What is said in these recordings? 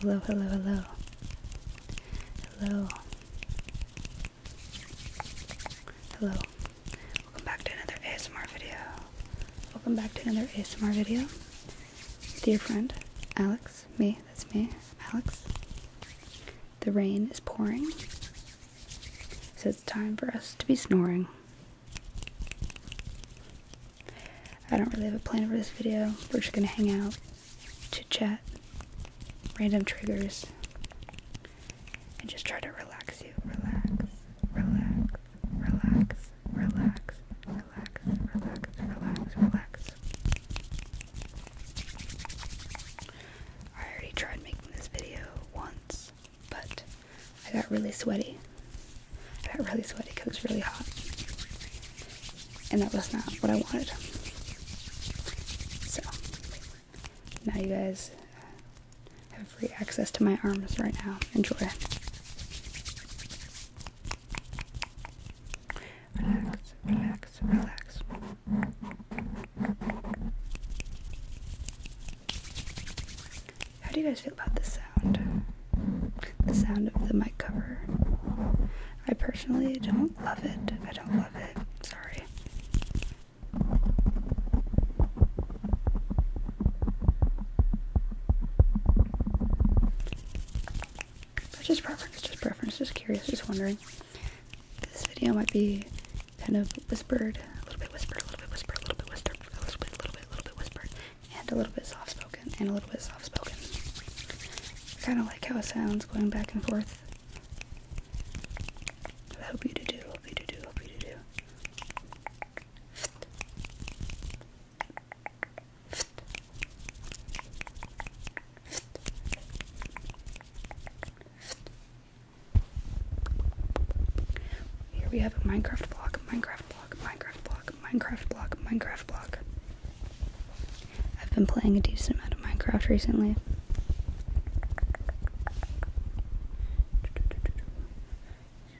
Hello, hello, hello. Hello. Hello. Welcome back to another ASMR video. Welcome back to another ASMR video. Dear friend, Alex, me, that's me, Alex. The rain is pouring, so it's time for us to be snoring. I don't really have a plan for this video. We're just gonna hang out, chit chat, random triggers, and just try to relax you. Relax, relax, relax, relax, relax, relax, relax, relax. I already tried making this video once, but I got really sweaty. I got really sweaty because it was really hot. And that was not what I wanted. So, now you guys have free access to my arms right now. Enjoy. Relax, relax, relax. How do you guys feel about the sound? The sound of the mic cover. I personally don't love it. I don't love it. Sorry. just preference, just preference, just curious, just wondering. This video might be kind of whispered, a little bit whispered, a little bit whispered, a little bit whispered, a little bit, a little bit, a little bit whispered, and a little bit soft spoken, and a little bit soft spoken. I kind of like how it sounds going back and forth. hope you do, do, hope you do, do, hope you do, do. Here we have a Minecraft block, Minecraft block, Minecraft block. Minecraft block, Minecraft block. I've been playing a decent amount of Minecraft recently.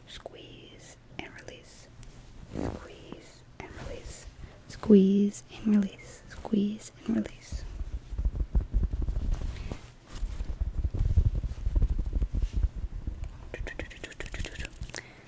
Squeeze and release. Squeeze and release. Squeeze and release. Squeeze and release.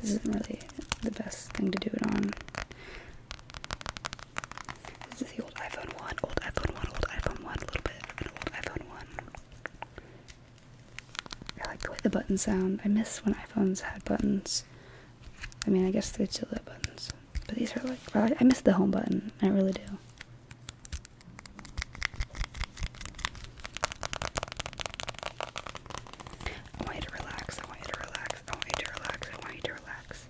This isn't really the best thing to do it on. This is the old iPhone 1, old iPhone 1, old iPhone 1, a little bit, old iPhone 1. I like the way the buttons sound. I miss when iPhones had buttons. I mean, I guess they'd still have buttons, but these are like, I miss the home button, I really do. I want you to relax, I want you to relax, I want you to relax, I want you to relax.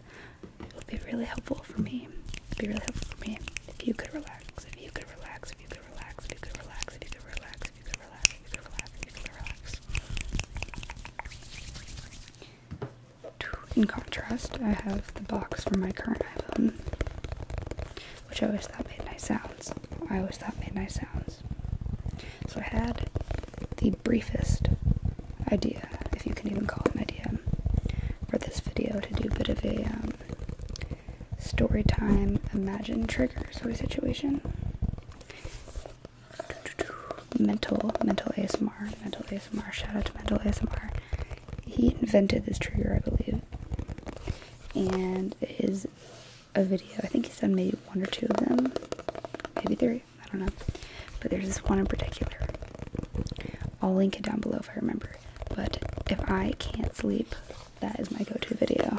It would be really helpful for me, it would be really helpful for me if you could relax, if you could relax, if you could relax, if you could relax, if you could relax, if you could relax. If you could relax. In contrast, I have the box for my current iPhone, which I always thought made nice sounds. I always thought made nice sounds. So I had the briefest idea, if you can even call it an idea, for this video to do a bit of a um, story time imagine trigger sort of situation. Mental, mental ASMR, mental ASMR. Shout out to mental ASMR. He invented this trigger, I believe, and it is a video. I think he's done maybe one or two of them, maybe three. I don't know, but there's this one in particular. I'll link it down below if I remember. But if I can't sleep, that is my go-to video.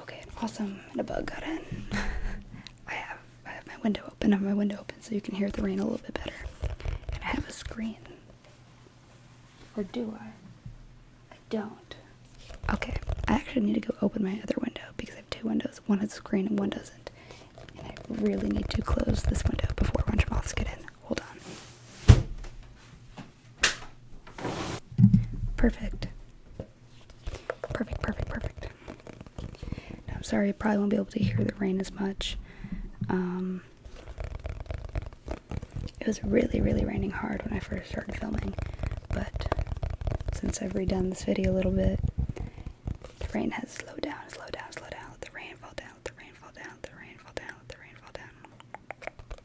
Okay, awesome. And a bug got in. I have I have my window open. I have my window open so you can hear the rain a little bit better. And I have a screen. Or do I? I don't. Okay, I actually need to go open my other window because I have two windows. One has a screen and one doesn't. And I really need to close this window before a bunch of moths get in. Hold on. Perfect. Perfect, perfect, perfect. I'm sorry, I probably won't be able to hear the rain as much. Um, it was really, really raining hard when I first started filming, but since I've redone this video a little bit, the rain has slowed down, Slow down, Slow down, let the rain fall down, let the rain fall down, let the rain fall down, let the rain fall down.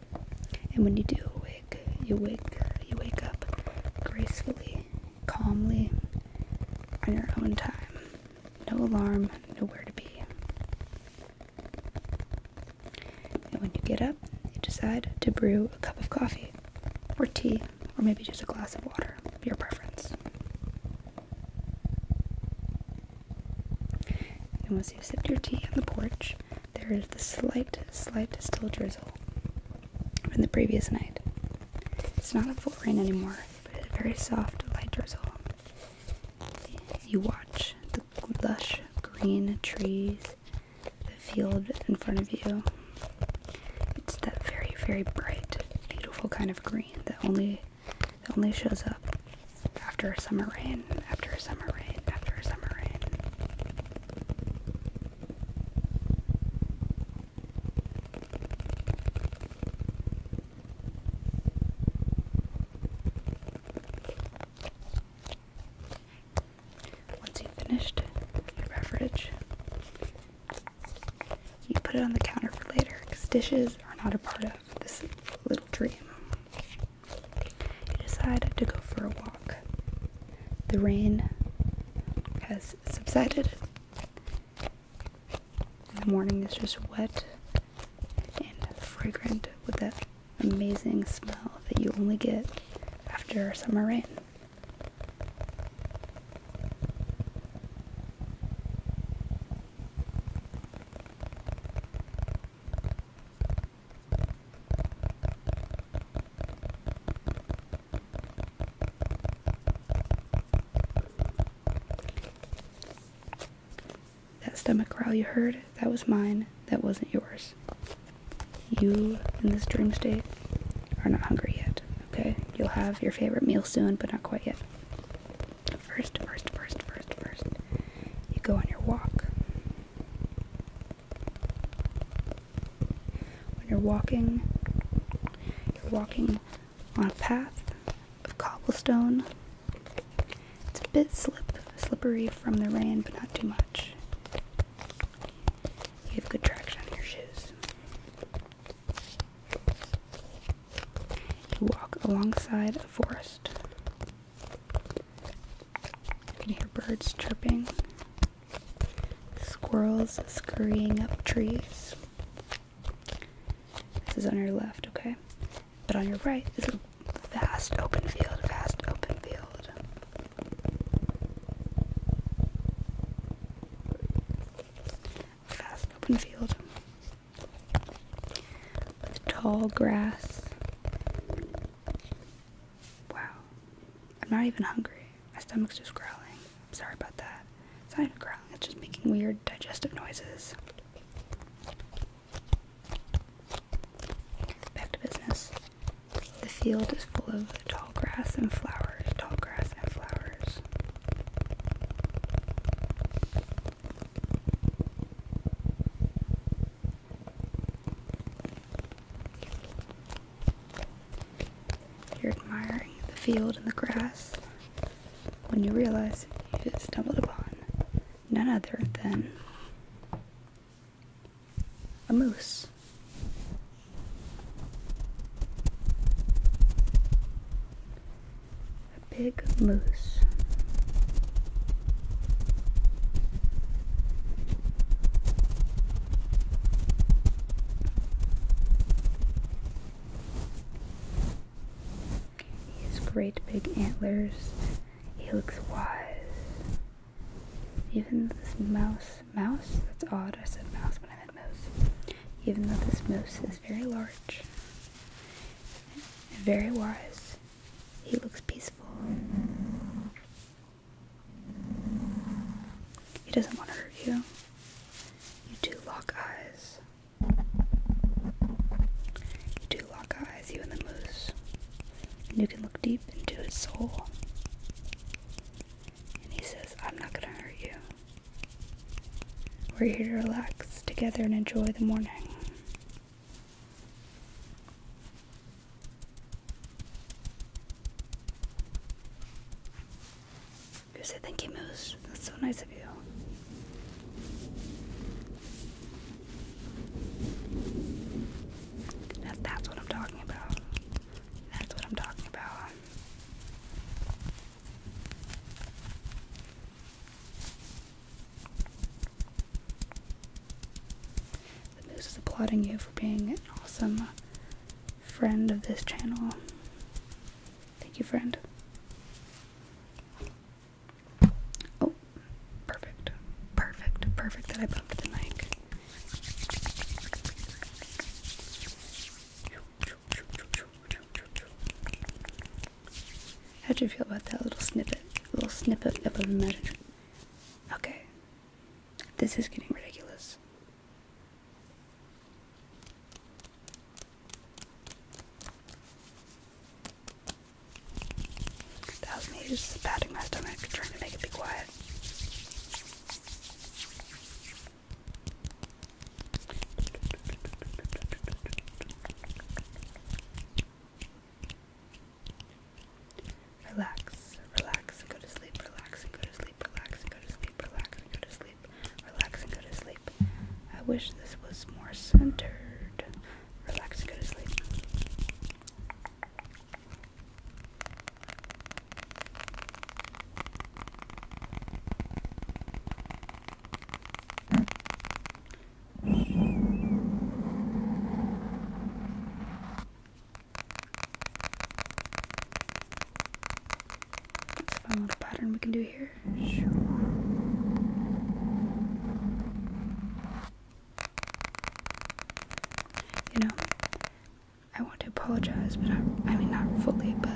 And when you do awake, you wake you wake up gracefully, calmly, on your own time. No alarm, nowhere to be. And when you get up, you decide to brew a cup of coffee, or tea, or maybe just a glass of water, your preference. And once you've sipped your tea on the porch, there is the slight, slight still drizzle from the previous night. It's not a full rain anymore, but a very soft, light drizzle. You watch the lush green trees, the field in front of you. It's that very, very bright, beautiful kind of green that only that only shows up after a summer rain, after a summer rain, after a summer rain. Once you've finished your beverage, you put it on the counter for later because dishes are not a part of this little dream. I decided to go for a walk. The rain has subsided. the morning is just wet and fragrant with that amazing smell that you only get after summer rain. That stomach growl you heard, that was mine, that wasn't yours. You, in this dream state, are not hungry yet, okay? You'll have your favorite meal soon, but not quite yet. First, first, first, first, first, you go on your walk. When you're walking, you're walking on a path of cobblestone. It's a bit slip, slippery from the rain, but not too much. You have good traction in your shoes. You walk alongside a forest. You can hear birds chirping, squirrels scurrying up trees. This is on your left, okay? But on your right is a vast open field, vast open field. Vast open field. With tall grass Wow. I'm not even hungry. My stomach's just growling. I'm sorry about that. It's not even growling, it's just making weird digestive noises. Back to business. The field is full of tall grass and flowers, tall grass and flowers. You're admiring the field and the grass when you realize you stumbled upon none other than a moose. A big moose. He has great big antlers. He looks wise. Even this mouse, mouse? That's odd. I said mouse, but I meant mouse. Even though this moose is very large, very wise, he looks peaceful. He doesn't want to hurt you. You do lock eyes. You do lock eyes, you and the moose. And you can look deep into his soul. And he says, I'm not going to hurt you. We're here to relax together and enjoy the morning. You say thank you, Moose. That's so nice of you. that's what I'm talking about. That's what I'm talking about. The news is applauding you for being an awesome friend of this channel. Thank you, friend. Oh, perfect. Perfect. Perfect that I bumped the mic. how do you feel about that little snippet? little snippet of imagination. Okay. This is getting ridiculous. That was me just patting my stomach, trying to make it be quiet. Relax, relax and go to sleep, relax and go to sleep, relax and go to sleep, relax and go to sleep, relax and go to sleep. I wish this was more centered. Relax and go to sleep. It's a fun little pattern we can do here. You know, I want to apologize, but i mean, not fully, but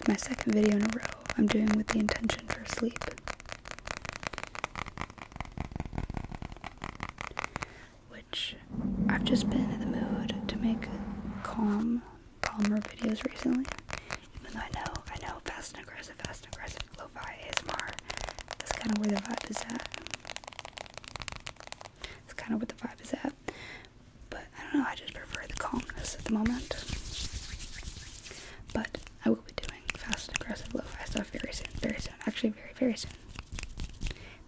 this my second video in a row I'm doing with the intention for sleep. Which I've just been in the mood to make calm, calmer videos recently. Even though I know, I know, fast and aggressive, fast and aggressive, lo is more. That's kind of where the vibe is at. That's kind of where the vibe is at. But I don't know, I just prefer the calmness at the moment. But I will be doing doing fast and aggressive lo-fi stuff very soon, very soon, actually very, very soon.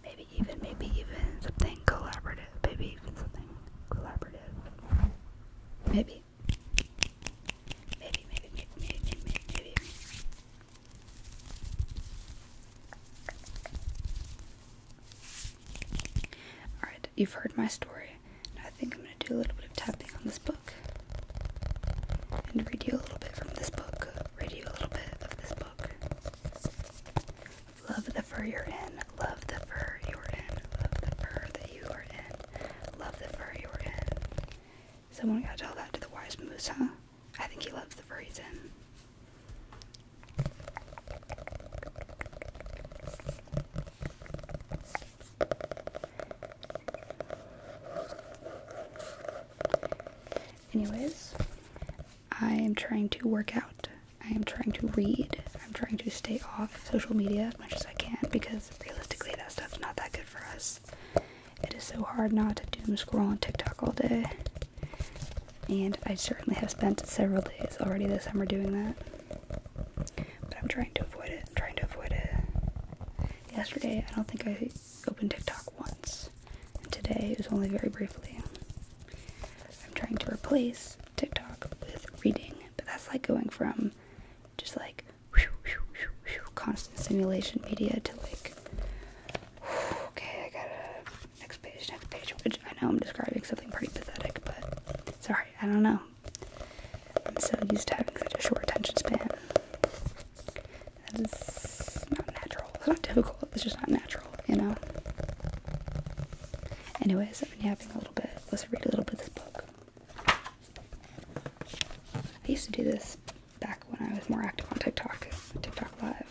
Maybe even, maybe even something collaborative, maybe even something collaborative. Maybe. Maybe, maybe, maybe, maybe, maybe, maybe. Alright, you've heard my story. Now I think I'm gonna do a little bit of tapping on this and read you a little bit from this book. Read you a little bit of this book. Love the fur you're in. Love the fur you're in. Love the fur that you are in. Love the fur you're in. Someone gotta tell that to the wise moose, huh? I think he loves the fur he's in. Anyways, I am trying to work out. I am trying to read. I'm trying to stay off social media as much as I can because realistically, that stuff's not that good for us. It is so hard not to doom scroll on TikTok all day. And I certainly have spent several days already this summer doing that. But I'm trying to avoid it. I'm trying to avoid it. Yesterday, I don't think I opened TikTok once. today, it was only very briefly. I'm trying to replace TikTok with reading, but that's like going from just like constant simulation media to like, okay, I gotta next page, next page. Which I know I'm describing something pretty pathetic, but sorry, I don't know. I'm so used to having such a short attention span. That is not natural. It's not difficult, it's just not natural, you know? Anyways, I've been yapping a little bit. Let's read a little bit of this book. I used to do this back when I was more active on TikTok, TikTok Live.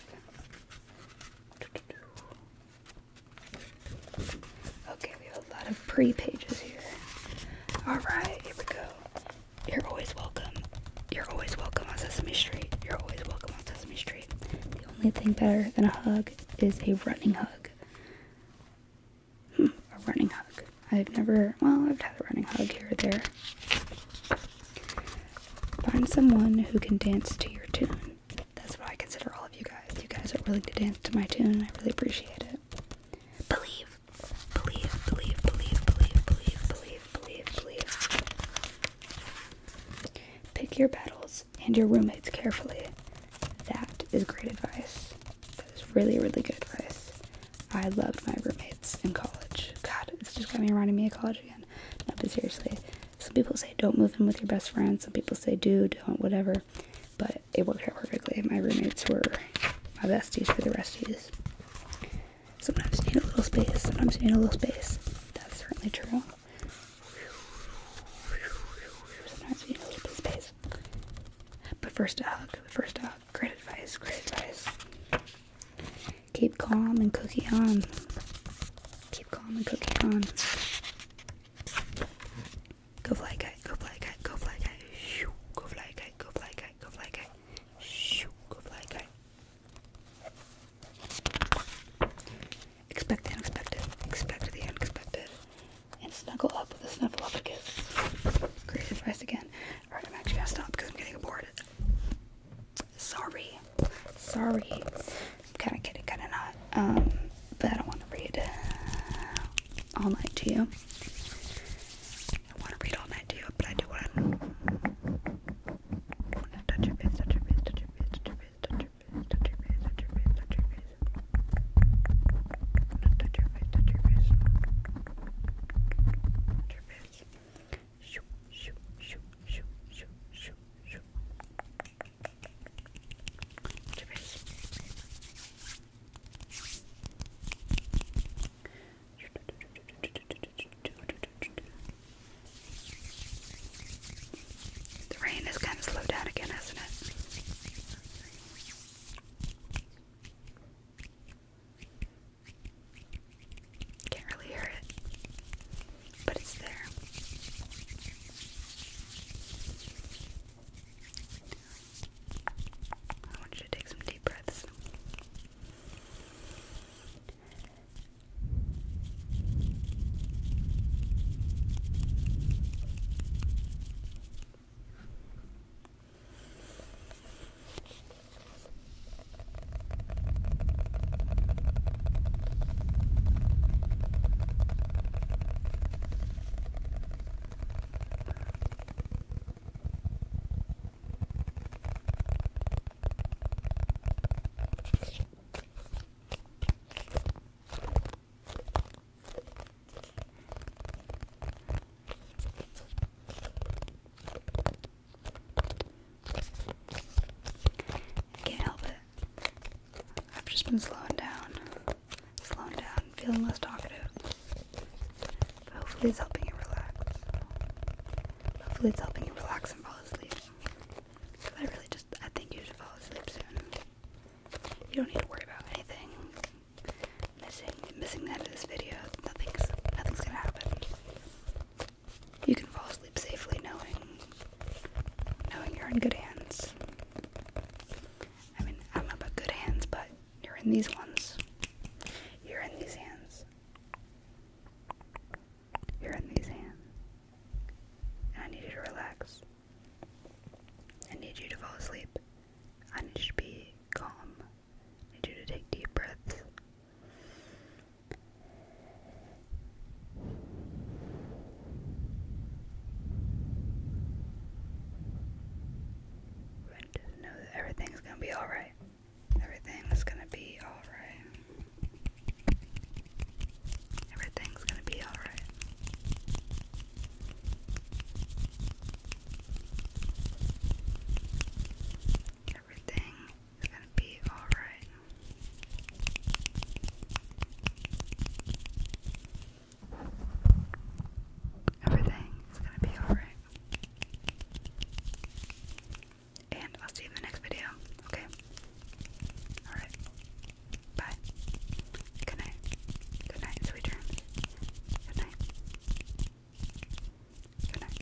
Okay, we have a lot of pre pages here. Alright, here we go. You're always welcome. You're always welcome on Sesame Street. You're always welcome on Sesame Street. The only thing better than a hug is a running hug. Hmm, a running hug. I've never, well, I've had a running hug here or there. Find someone who can dance to your tune. That's what I consider all of you guys. You guys are willing to dance to my tune. I really appreciate it. Believe, believe, believe, believe, believe, believe, believe, believe, believe. Pick your battles and your roommates carefully. That is great advice. That is really, really good advice. I loved my roommates in college. God, it's just got me reminding me of college again. Not but seriously, some people say don't move in with your best friend. Some people say do, don't, whatever. But it worked out perfectly. My roommates were my besties for the resties. Sometimes you need a little space, sometimes you need a little space. That's certainly true. Sometimes you need a little space. But first a hug, first hug. Great advice, great advice. Keep calm and cookie on. Keep calm and cookie on. Go fly guy, go fly guy, go fly guy. Go fly guy, go fly guy go fly guy. Shoo, go fly guy. Expect the unexpected, expect the unexpected, and snuggle up with a snuffleupagus. Great advice again. Alright, I'm actually gonna stop because I'm getting bored. Sorry, sorry. I'm kind of kidding, kind of not. Um, but I don't want to read all night to you. I want to read all night to you, but I do want to touch your face, touch your face, touch your face, touch your face, touch your face, touch your face, touch your face, touch your face. Touch your face, touch your face. Touch your face. Shoot, shoot, shoot, shoot, shoot, shoot, shoot. Touch your face. The rain has kind of slowed down again, hasn't it? Can't really hear it, but it's there. I want you to take some deep breaths. I can't help it. I've just been slowing down slowing down, feeling less talkative. But hopefully it's helping you relax. Hopefully it's helping you relax and fall asleep. Cause I really just, I think you should fall asleep soon. You don't need to worry about anything missing, missing the end of this video. Nothing's, nothing's gonna happen. You can fall asleep safely knowing, knowing you're in good hands. I mean, I don't about good hands, but you're in these ones. You're in these hands. You're in these hands. And I need you to relax. I need you to fall asleep. I need you to be calm. I need you to take deep breaths know that everything's gonna be alright. Everything's gonna be alright. Everything's gonna be alright. Everything gonna be alright. Everything is gonna be alright. And I'll see you in the next video, okay? Alright. Bye. Good night. Good night, sweet dreams. Good night. Good night.